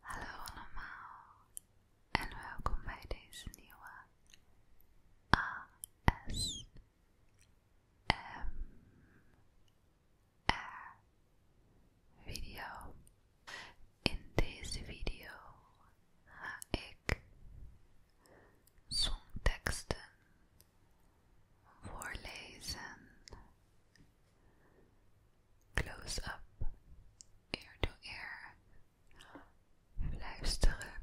Hallo allemaal en welkom bij deze nieuwe ASMR video. In deze video ga ik songteksten voorlezen Close up, ear to ear, luisteren.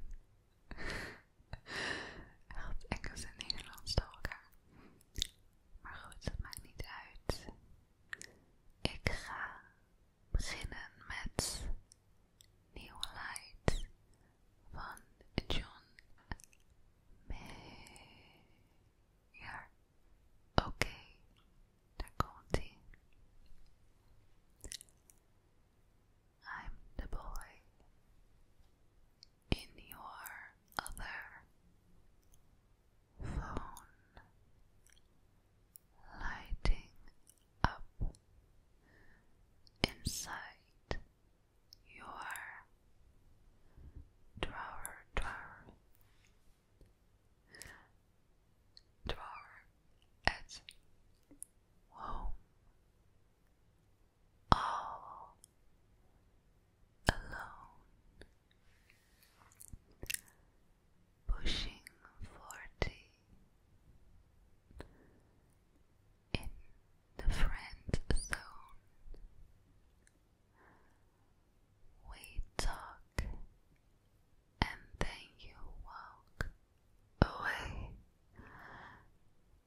Helpt Engels en Nederlands door elkaar. Maar goed, dat maakt niet uit. Ik ga beginnen met nieuwe Light van John May. You're okay, Takonti. I'm the boy in your other phone, lighting up inside your drawer drawer. Tomorrow at home, all alone, pushing forty in the friend zone. We talk and then you walk away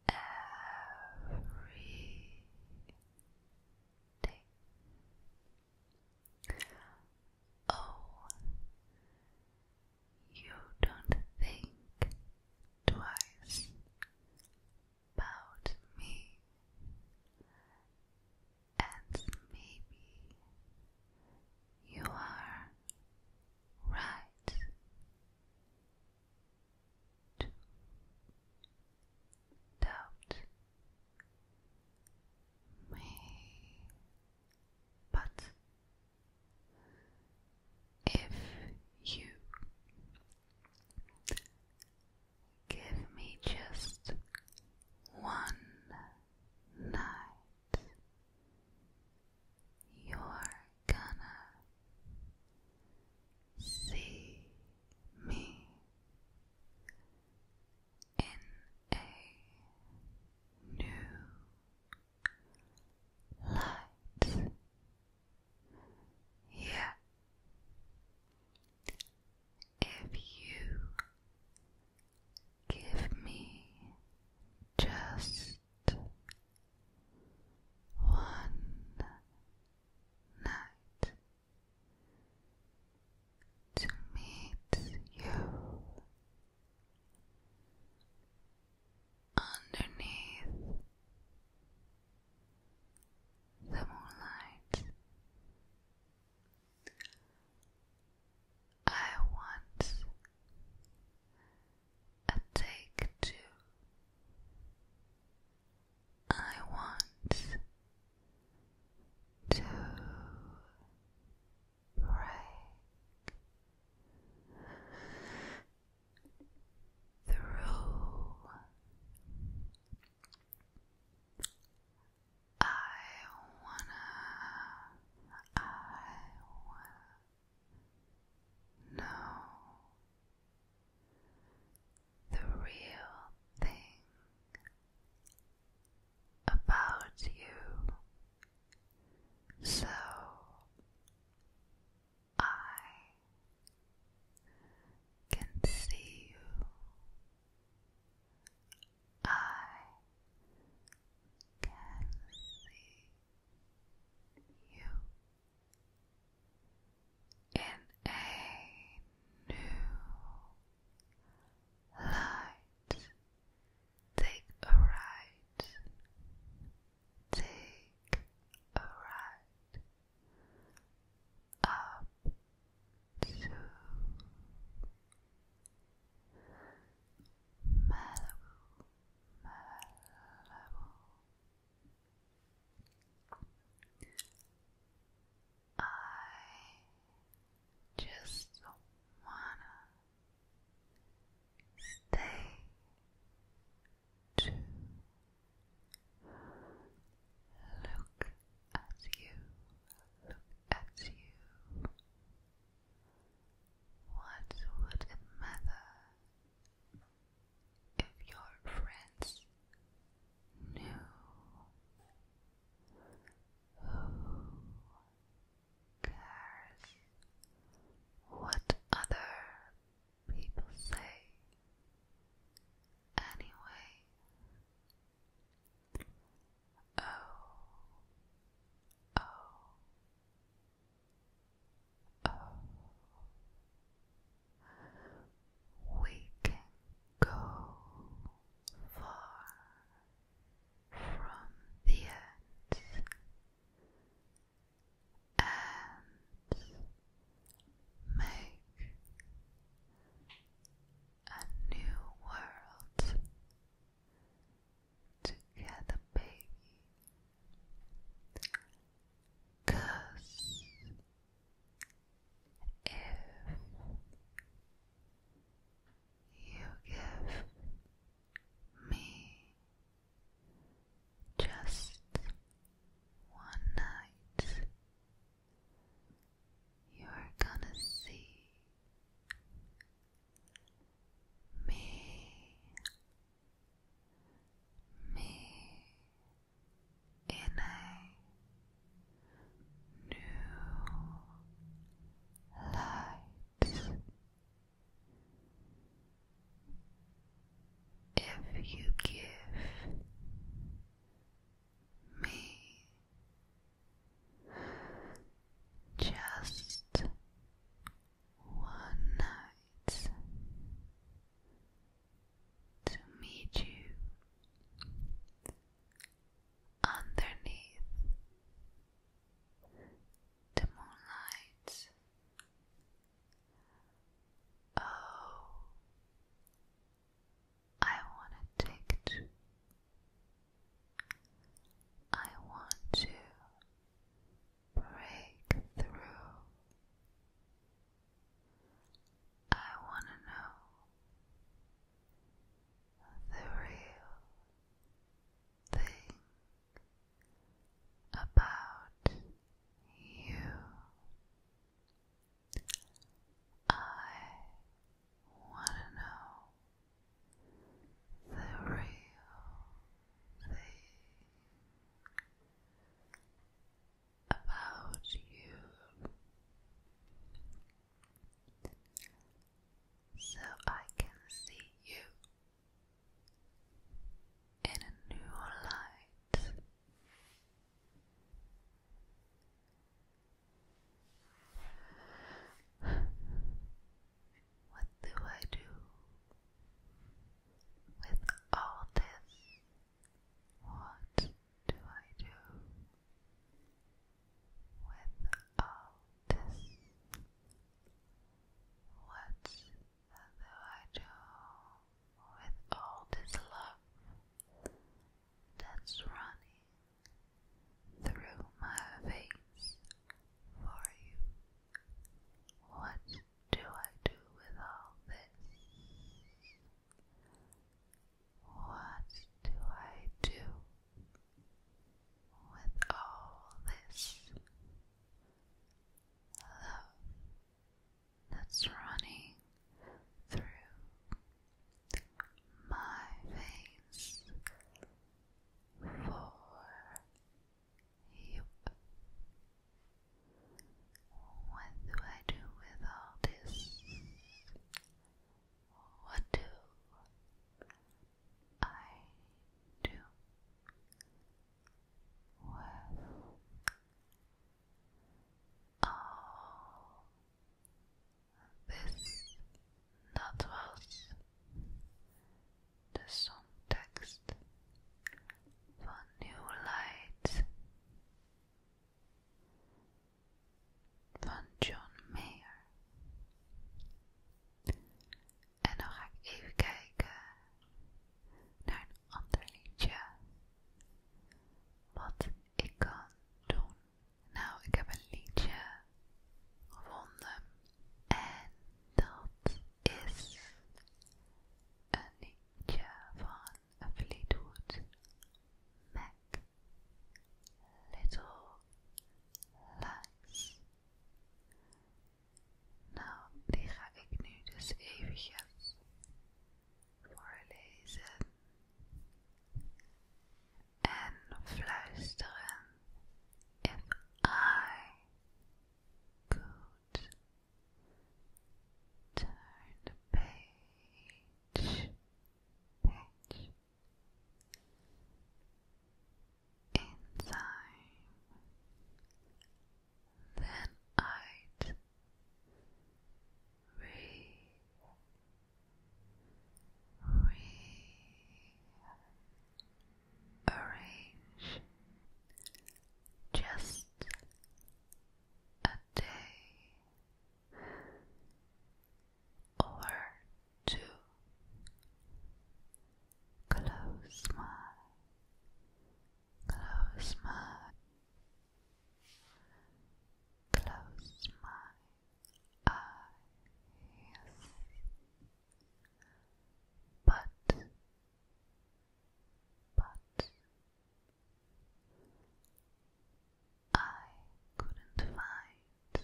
every day. Oh, you don't think twice about me, and maybe you are right doubt me, but if you Give me just one night. You're gonna see me in a new light. Yeah if you give me just one night to meet you underneath the moonlight. I want a take two. I want to break through I wanna, know the real thing about you, so I can see you. I can see you in a new light. Take a ride. Take a ride up to Malibu, Malibu, I just wanna stay Look at you, look at you. What would matter if your friends knew? Who cares what other people say? Anyway, oh, oh, oh, we can go far from the end and make a new world together, baby. if you give me just one night you're gonna see me, me in a new light. If you give me just one night to meet you underneath the moonlight. Oh, I want to take two. I want to break through. I want to know the real thing about you. I want to know the real thing about you so I can see you in a new light. What do I do with all this? What do I do with all this? What do I do with all this love that's running through my veins for you. What do I do with all this? What do I do with all this love? that's running through my veins for you. What do I do with all this? What do I do with all oh. dit, dat was de songtekst van New Light van John Mayer. En dan ga ik even kijken naar een ander liedje wat ik kan doen. Nou, ik heb een liedje gevonden en dat is een liedje van Fleetwood Mac. Little Lies. Nou, die ga ik nu dus eventjes voorlezen en fluisteren. If I could turn page, page in then I'd re rearrange just a day or two close my close my Close my eyes, but, but I couldn't find a way.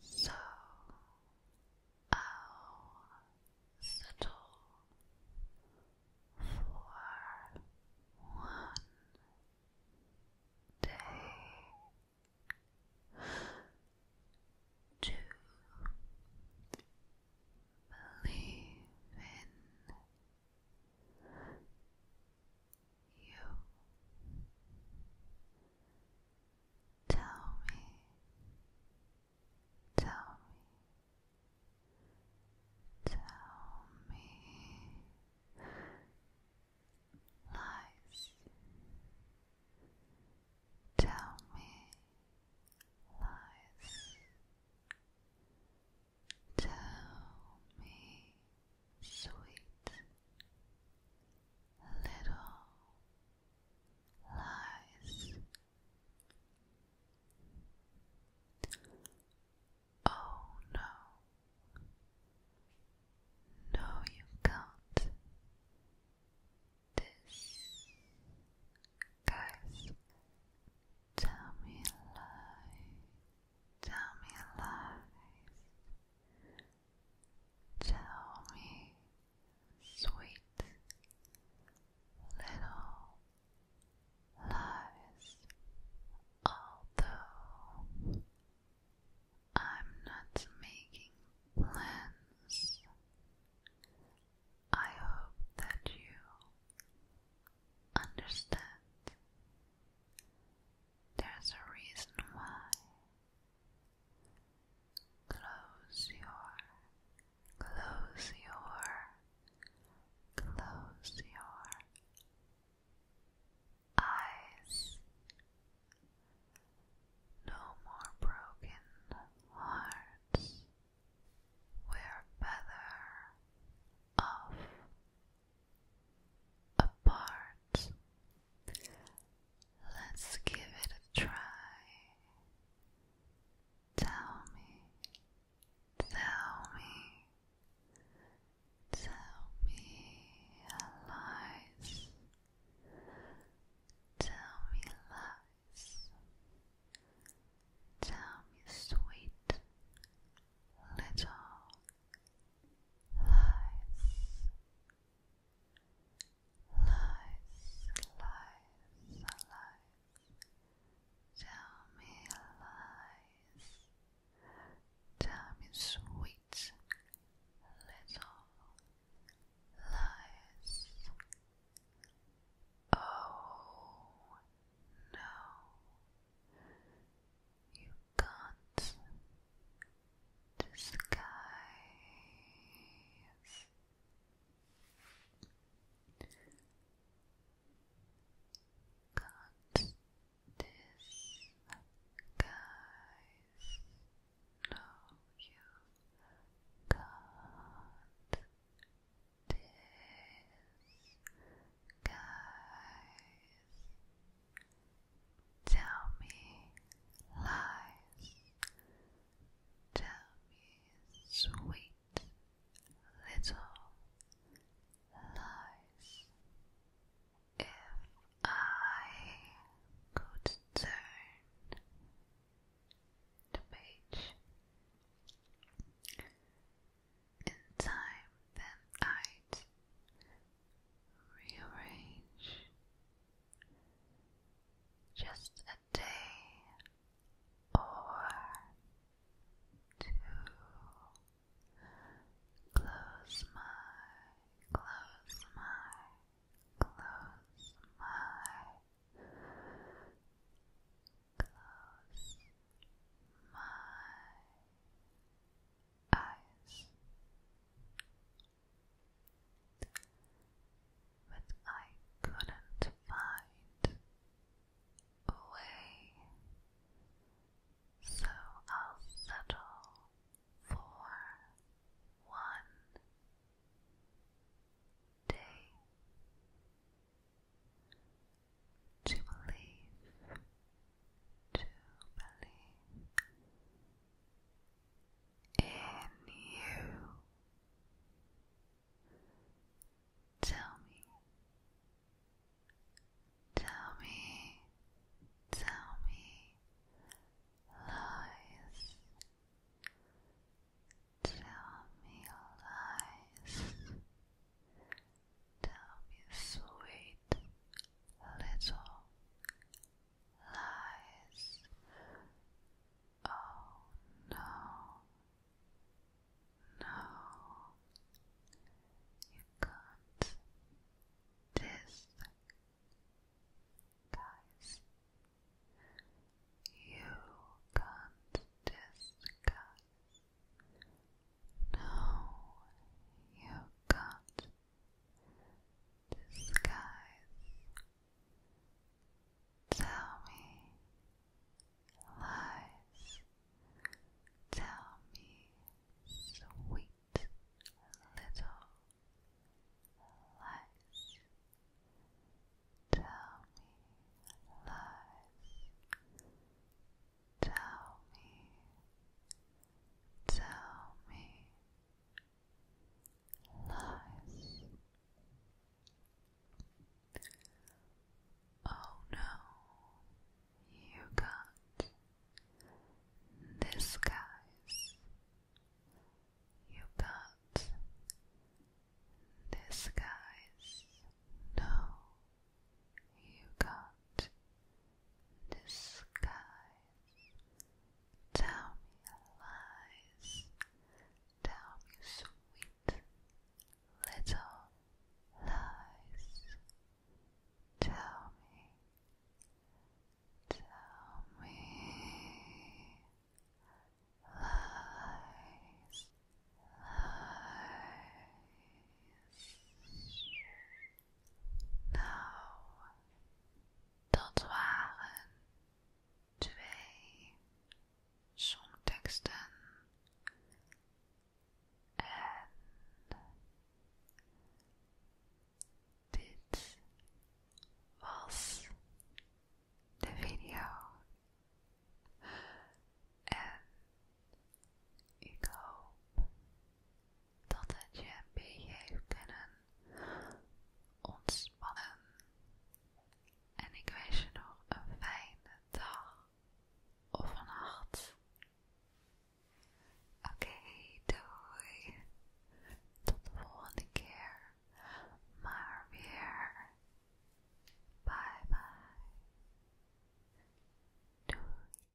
So I'll settle for one day to believe in you. Tell me, tell me, tell me lies. Tell me lies. Tell me sweet little lies. Oh no. No, you can't. This guys, tell me a lie, me a Tell me, sweet little lies, although I'm not making plans. I hope that you understand. There's a reason why Close your, close your, close your eyes. No more broken hearts. We're better off apart. Let's give it a try. Tell me, tell me, tell me lies. Tell me lies. Tell me sweet little lies. Lies, lies, lies. Tell me lies. Tell me sweet little lies. Oh no. You can't disguise can't disguise no you can't disguise Tell me lies. Tell me sweet little lies. If I could turn the page in time, then I'd rearrange just a day or two. Close my, close my, close my, close my but I couldn't find a way, so I'll settle for one day to believe believe in you. Tell me, tell me, tell me lies. Tell me lies. Tell me sweet little lies. Oh no, no, you can't. This you can't. This no, you can't disguise. Tell me lies. Tell me sweet little lies. Tell me lies. Tell me, tell me lies. Oh no, you got this guy's. You got this guy's. No, you got the skies. Tell me lies, tell me sweet little lies. Tell me, tell me lies, lies. Nou, dat waren twee songteksten en dit was de video. En ik hoop dat het je een beetje heeft kunnen ontspannen. En ik wens je nog een fijne dag of een nacht. Oké, doei. Tot de volgende keer. Maar weer. Bye bye. Doei.